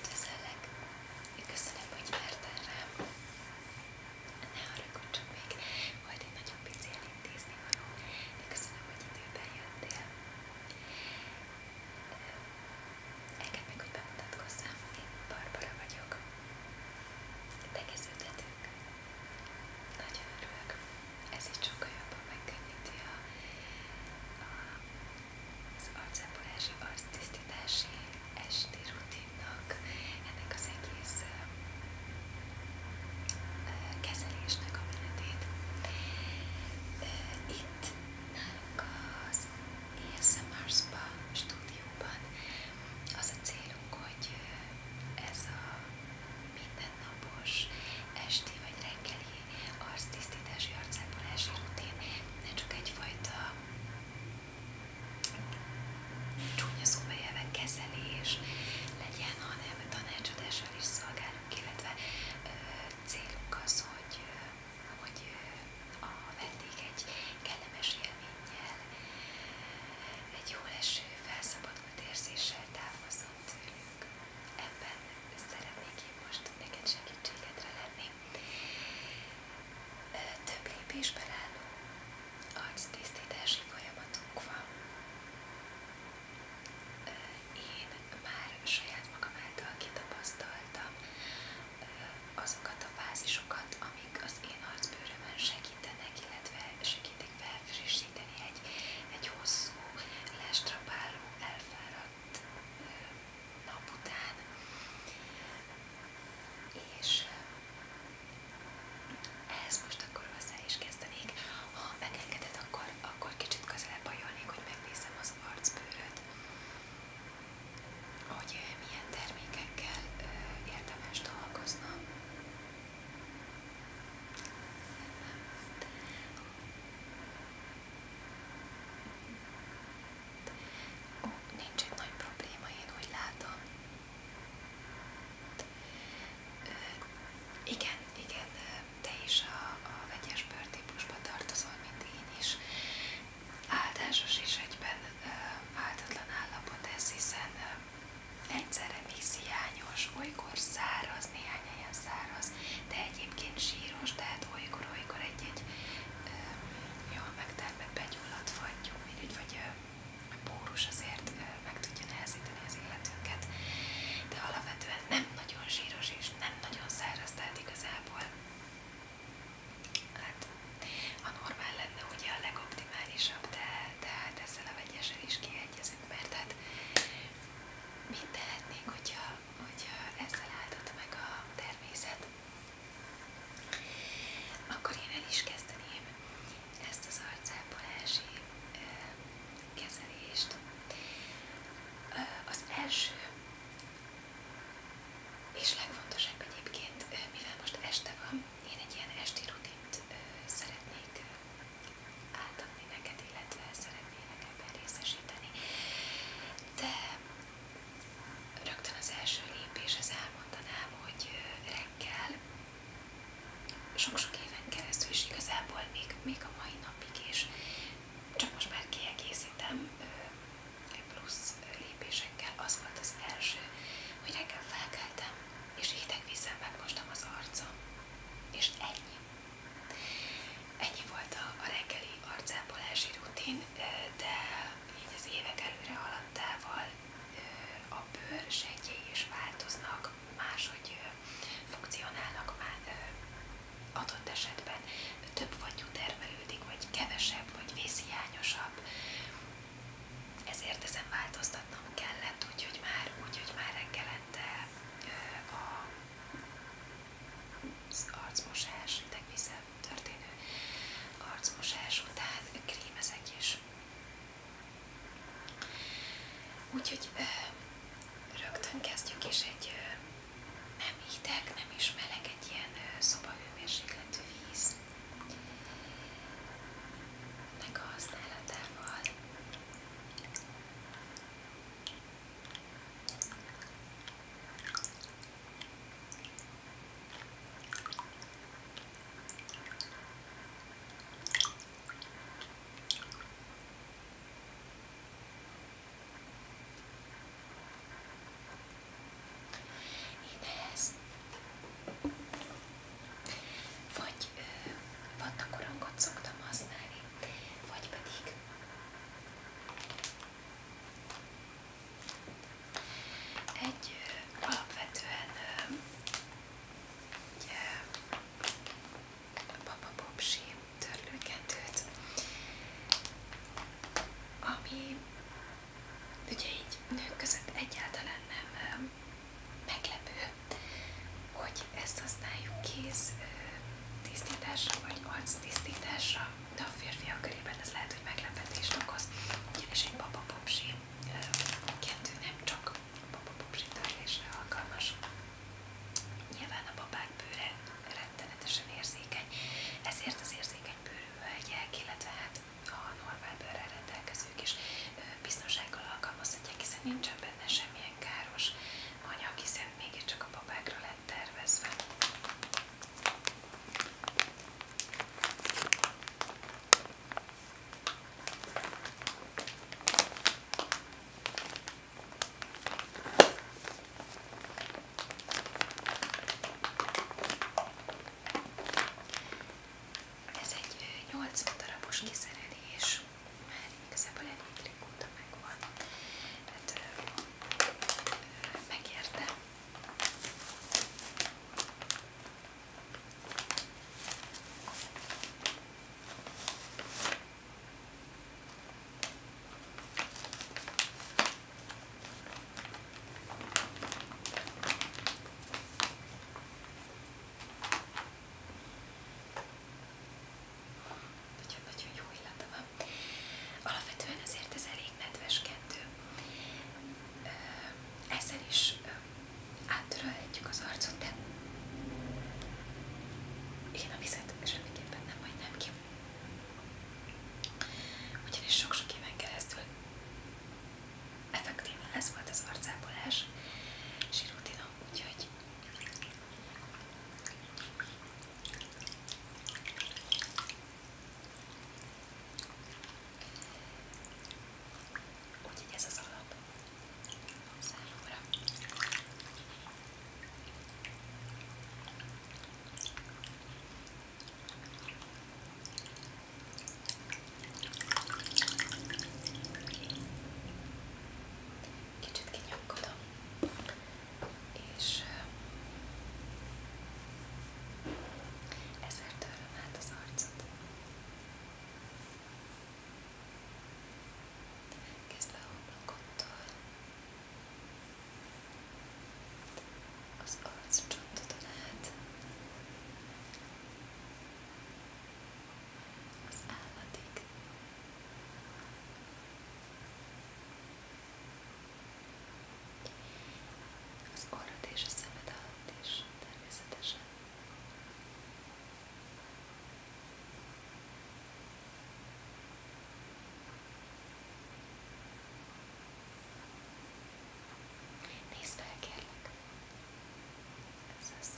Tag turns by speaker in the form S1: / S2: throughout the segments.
S1: Üdvözöllek! Köszönöm, hogy vártál rám! Ne haragudj, csak még volt egy nagyon pici elintézni való, de köszönöm, hogy időben jöttél. Engedd meg, hogy bemutatkozzam, én Barbara vagyok. Tegeződhetünk! Nagyon örülök, ez így sokkal jobban megkönnyíti a, a, az arcápolási, arctisztítási esti rutinnak, ennek az egész kezelésnek a menetét. Itt nálunk az ASMR Spa stúdióban az a célunk, hogy ez a minden napos esti vagy reggeli arctisztítási arcápolási rutin ne csak egyfajta csúnya szóval kezelés legyen, hanem tanácsadással is szolgálunk, illetve ö, célunk az, hogy, ö, hogy a vendég egy kellemes élménnyel, egy jó eső, felszabadulás, elfogadott érzéssel távozzon tőlünk. Ebben szeretnék én most neked segítségedre lenni. Több lépésben álló agytisztítási folyamatunk van. Én már saját magam által kitapasztaltam azokat a fázisokat, amik az én arcbőrömön segítenek, illetve segítenek segítik felfrissíteni egy, egy hosszú, lestrapáló, elfáradt nap után. És ehhez most akkor hozzá is kezdenék. Ha megengeded, akkor, akkor kicsit közelebb ajolnék, hogy megnézem az arcbőröt, hogy milyen termékekkel érdemes dolgoznom. Ó, nincs itt nagy probléma, én úgy látom. Ö, igen, igen, te is a, a vegyes bőrtípusba tartozol, mint én is. Áldásos is egyben ö, áldatlan állapot ez, hiszen ö, Egyszerre víz hiányos, olykor száraz, néhány helyen száraz, de egyébként síros, tehát olykor-olykor egy-egy jól megtermett begyulladt fagyú, mindegy, vagy pórus azért meg tudja nehezíteni az életünket, de alapvetően nem nagyon síros és nem nagyon száraz, tehát igazából hát, ha normál lenne ugye a legoptimálisabb, de tehát ezzel a vegyesen is kiegyezünk, mert hát mit tehetnénk, hogyha, hogyha ezzel áldotta meg a természet. Akkor én el is kezdeném ezt az arcápolási kezelést. Az első és legfontosabb egyébként, mivel most este van, én egy ilyen esti rutint ö, szeretnék átadni neked, illetve szeretnélek ebben részesíteni. De rögtön az első lépés, az elmondanám, hogy reggel sok-sok éven keresztül is igazából még, még a mai napig is, csak most már kiegészítem plusz lépésekkel. Az volt az első, hogy reggel felkeltem, és hideg vízzel megmostam az arcom, és ennyi. Ennyi volt a reggeli arcápolási rutin, de így az évek előre haladtával a bőr sejtjei is változnak, máshogy funkcionálnak már adott esetben több vagyú termelődik, vagy kevesebb, vagy vészhiányosabb, ezért ezen változtatnom kellett, úgyhogy már, úgy, már reggelente az arcmosás, idegvízzel történő arcmosás után krémezek is. Úgyhogy rögtön kezdjük is egy nem hideg, nem is meleg, egy ilyen szobahőmérsékletű víz ennek a használatával Énehez. Vagy ö, vannak korongot szoktam használni, vagy pedig egy ö, alapvetően ö, egy papapopsi törlőkendőt, ami ugye így nők között egyáltalán nem meglepő, hogy ezt használjuk kéz tisztításra vagy arc tisztításra, de a férfiak körében ez lehet, hogy meglepetést okoz, ugyanis egy babapopsi kettő nem csak babapopsi törlésre alkalmas. Nyilván a babák bőre rettenetesen érzékeny, ezért az érzékeny bőrű hölgyek, illetve hát a normál bőrrel rendelkezők is biztonsággal alkalmazhatják, hiszen nincsen benne semmilyen káros anyag, hiszen mégiscsak a babákra lett tervezve. Ez egy 80 darabos kiszerelés, már igazából elég rég óta megvan, hát megérte. Nagyon-nagyon jó illata van. Alapvetően azért ez elég nedveskedő. Ezzel is áttörölhetjük az arcot, de én a vizet semmiképpen nem hagynám ki. Ugyanis sok-sok éven keresztül effektíve ez volt az arcápolás és rutinom, úgyhogy Úgyhogy ez az alap számomra. Kicsit kinyomkodom, és ezért töröm át az arcot. Kezdve a homlokottól, az arccsontodon át, az állatig. Az orrod és a szemed alatt is, természetesen. Nézd fel, kérlek. Ez az.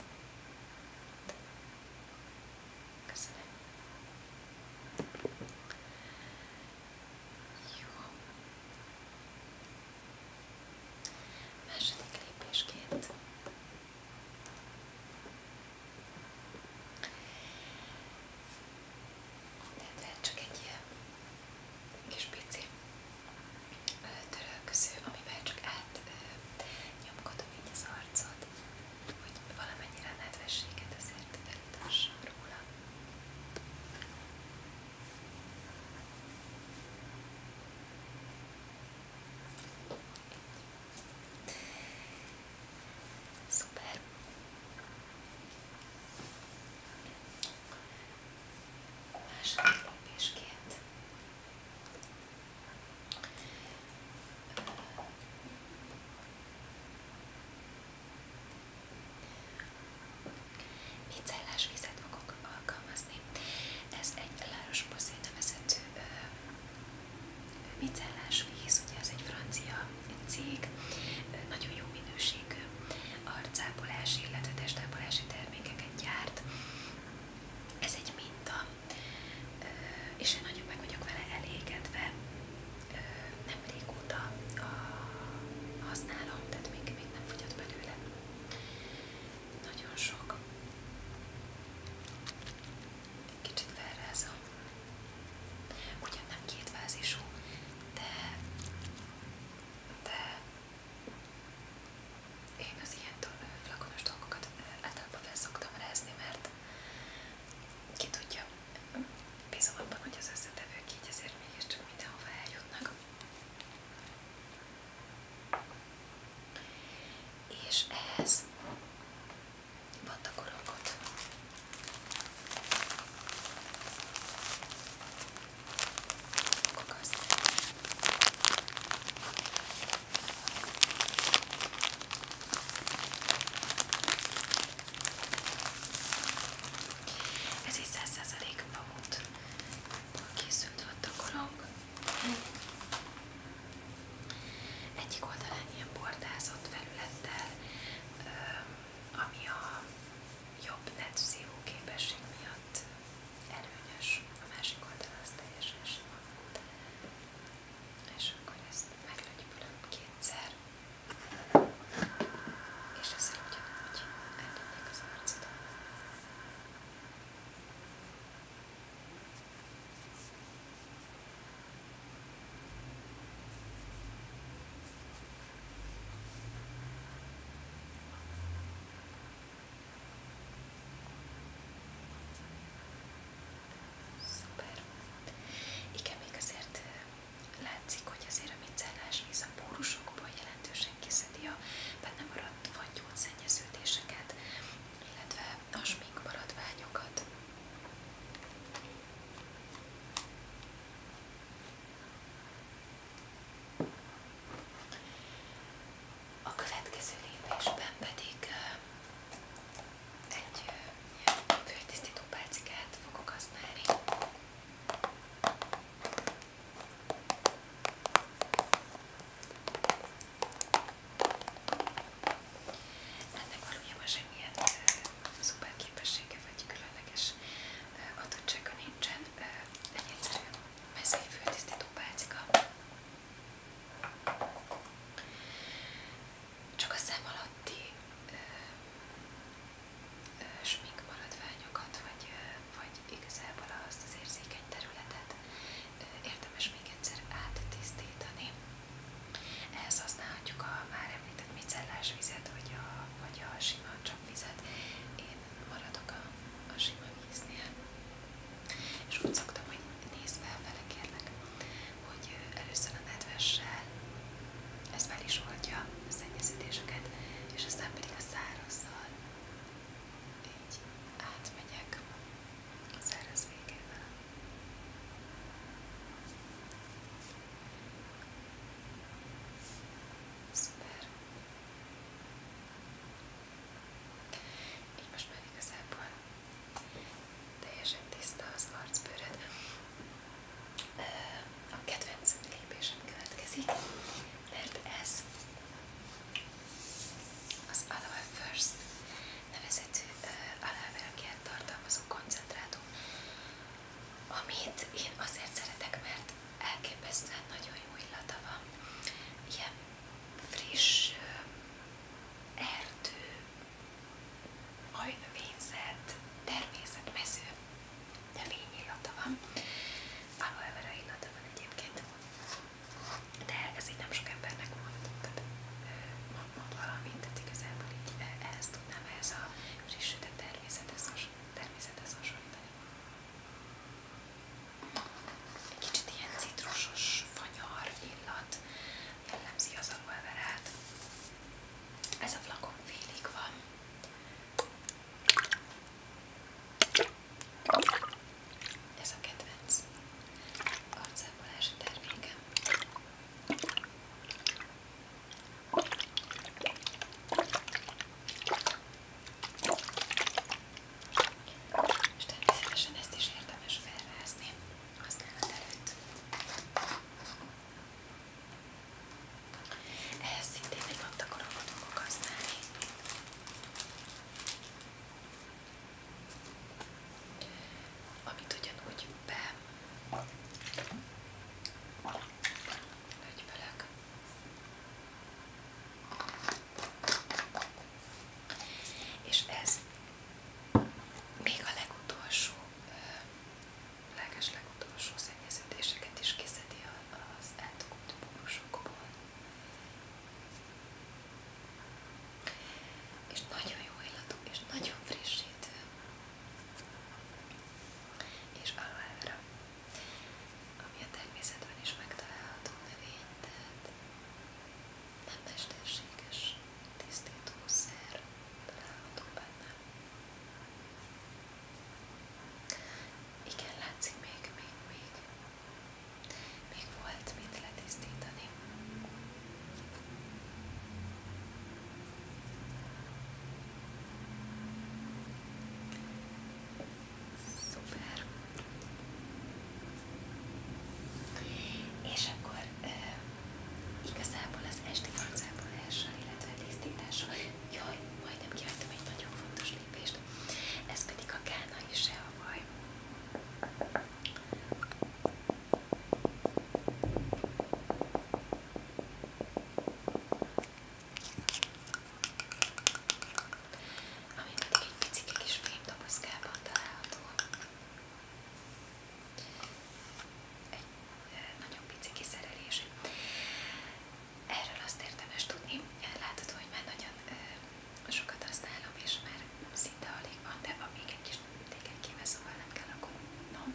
S1: Köszönöm. Jó. Második lépésként de csak egy ilyen kis pici törölköző, amivel csak átnyomkodom így az arcot, hogy valamennyire nedvességet azért elítassam róla. Szuper! A második lépésként alkalmazni. Ez egy Laroche-Posay nevezető micellás víz, ugye ez egy francia cég nagyon jó minőségű arcápolási, illetve termékeket gyárt. Ez egy minta, és én nagyon meg vele elégedve. Nem régóta használom, tehát még, még nem fogyott belőle. Nagyon sok. Kicsit felrázom. Ugyan nem két fázisú, de, de én az ilyen flakonos dolgokat általában fel szoktam rázni, mert ki tudja, bízom abban, hogy az összetevők így azért mégiscsak mindenhova eljutnak. És ehhez pattakorokat. Ez egy 100% pamut készült volt a korong. Egyik oldalán ilyen bordázott felülettel, ami a jobb net szívó képesség miatt előnyös, a másik oldalon az teljesen sima. És akkor ezt meglögyülöm kétszer, és ezzel ugyanúgy eltudnék az arcot. Szuper. Igen, még azért látszik, hogy azért a micellás víz a pórusokból jelentősen kiszedi a benne maradt fagyószennyeződéseket, illetve a sminkmaradványokat. A következő lépésben pedig egy főtisztító pálcikát fogok használni. Ennek valójában semmilyen szuper képessége vagy különleges adottsága nincsen, egy egyszerű mezei föltisztító pálcika. Csak a szem alatti ö, ö, smink maradványokat, vagy, ö, vagy igazából azt az érzékeny területet ö, érdemes még egyszer áttisztítani. Ehhez használhatjuk a már említett micellás vizet, vagy a, vagy a sima csapvizet. Én maradok a, a sima víznél. És úgy szoktam, hogy nézd felfele kérlek, hogy először a nedvessel ez fel is oldja a szennyeződéseket, és aztán pedig a szárazzal így átmegyek a szerez végével. Szuper! Így most már igazából teljesen tiszta az arcbőröd. A kedvenc lépésem következik, mert ez az Aloe First nevezetű aláverekért tartalmazó koncentrátum, amit én azért szeretek, mert elképesztően nagyon jó illata van. Ilyen friss erdő, hajnövényzet, természet, mező, növényillata van. Aloe illata van egyébként. De ez így nem sok embernek mond, tehát mond valamit, tehát igazából így e, ehhez tudnám, ehhez a frissített természethez hasonlítani. Egy kicsit ilyen citrusos, fanyar illat jellemzi az alulverát. Ez a flakon félig van. Ez a kedvenc arcápolási termékem. És természetesen ezt is érdemes felrázni használat előtt. Ehhez szintén egy labdakorongot fogok használni amit ugyanúgy be lögyvelek. És ez még a legutolsó, leges legutolsó szennyeződéseket is kiszedi az eltokott pórusokból és nagyon jó illatú, és nagyon frissítő. És aloe vera, ami a természetben is megtalálható növény, tehát nem mesterséges tisztítószer található benne. Igen, látszik még, még, még még volt mit letisztítani. Szuper. És akkor e, igazából az esti arcápolással, illetve tisztítása, jaj, majdnem kihagytam egy nagyon fontos lépést, ez pedig a kánai sehavaj ami pedig egy picike kis fémdobozkában található. Egy nagyon picike szerelés. Erről azt érdemes tudni, látható, hogy már nagyon sokat használom, és már szinte alig van, de van még egy kis tékenykéve, szóval nem kell aggódnom,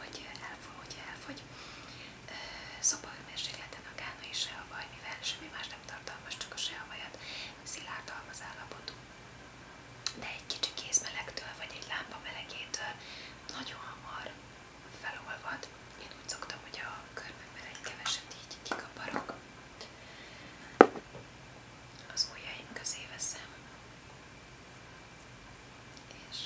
S1: hogy, elfog, hogy elfogy. Szobahőmérsékleten a gánai seavaj, mivel semmi más nem tartalmaz, csak a seavajat, szilárdalmaz állapotú. De egy kicsi kézmelegtől, vagy egy lámpa melegétől nagyon hamar felolvad. Én úgy szoktam, hogy a körmömben egy keveset így kikaparok az ujjaim közé veszem, és,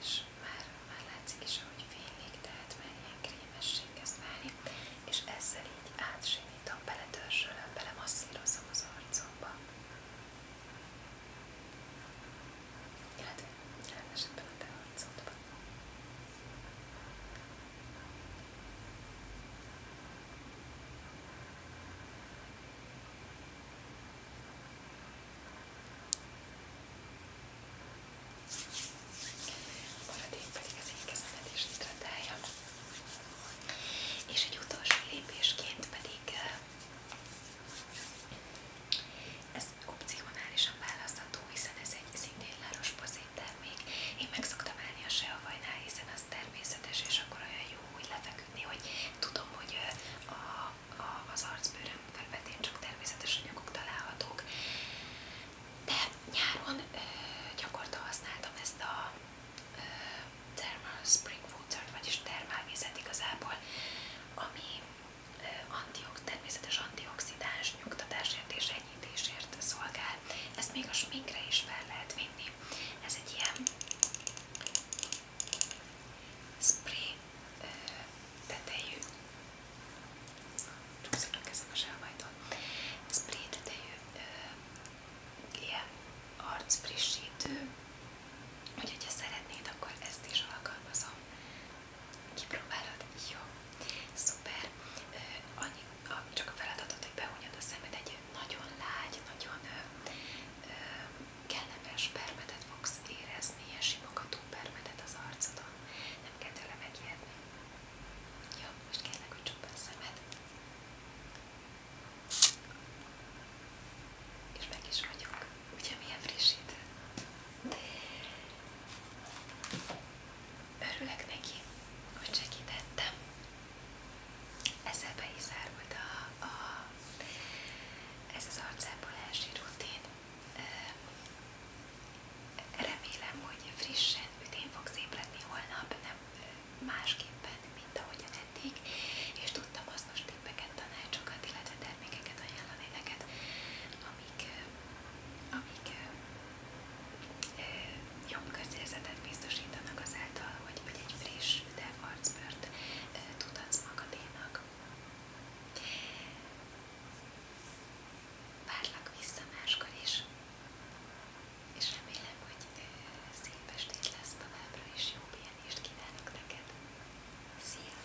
S1: és már, már látszik is, ahogy fénylik, tehát már ilyen krémesség kezd válni, és ezzel így átsimítom, beletörzsölöm, belemasszírozom az arcomba. Illetve jelen esetben a te arcodba. Maradék pedig az én kezemet is hidratálja. És egy utolsó lépésként pedig eh, ez opcionálisan választható, hiszen ez egy szintén láros termék. Én meg szoktam állni a seavajnál, hiszen az természetes, és akkor olyan jó úgy lefeküdni, hogy tudom, hogy a, a, az arcbőröm felvetén csak természetes anyagok találhatók. De nyáron ö, gyakorta használtam ezt a ö, Thermal Spring Water-t, vagyis termálvizet igazából, ami Eh, antiok, természetes antioxidáns nyugtatásért és enyhítésért szolgál. Ezt még a sminkre is fel lehet vinni. Ez egy ilyen spray eh, tetejű, csúszik a kezem a sávajtól, spray tetejű eh, ilyen arcfrissítő, úgyhogy ha szeretnéd, akkor ezt is alkalmazom Kipróbálod? Jó. Szuper. Annyi, csak a feladatot, hogy behúnyod a szemed, egy nagyon lágy, nagyon ö, ö, kellemes permetet fogsz érezni, ilyen simogató permetet az arcodon. Nem kell tőle megijedni. Jó, most kérlek, hogy csukd be a szemed. És meg is vagyok. Ugye milyen frissítő? Örülök neki, hogy segítettem. Ezzel be is zárult a, a, ez az arcápolási rutin. Remélem, hogy frissen ütén fogsz ébredni holnap, nem másképpen, mint ahogyan eddig, és tudtam hasznos tippeket, tanácsokat, illetve termékeket ajánlani neked, amik, amik jobb közérzetet biztosítanak azáltal, hogy vagy egy friss, üdebb arcbört tudhatsz magadénak. Várlak vissza máskor is, és remélem, hogy szép estét lesz továbbra, és jó pihenést kívánok neked. Szia!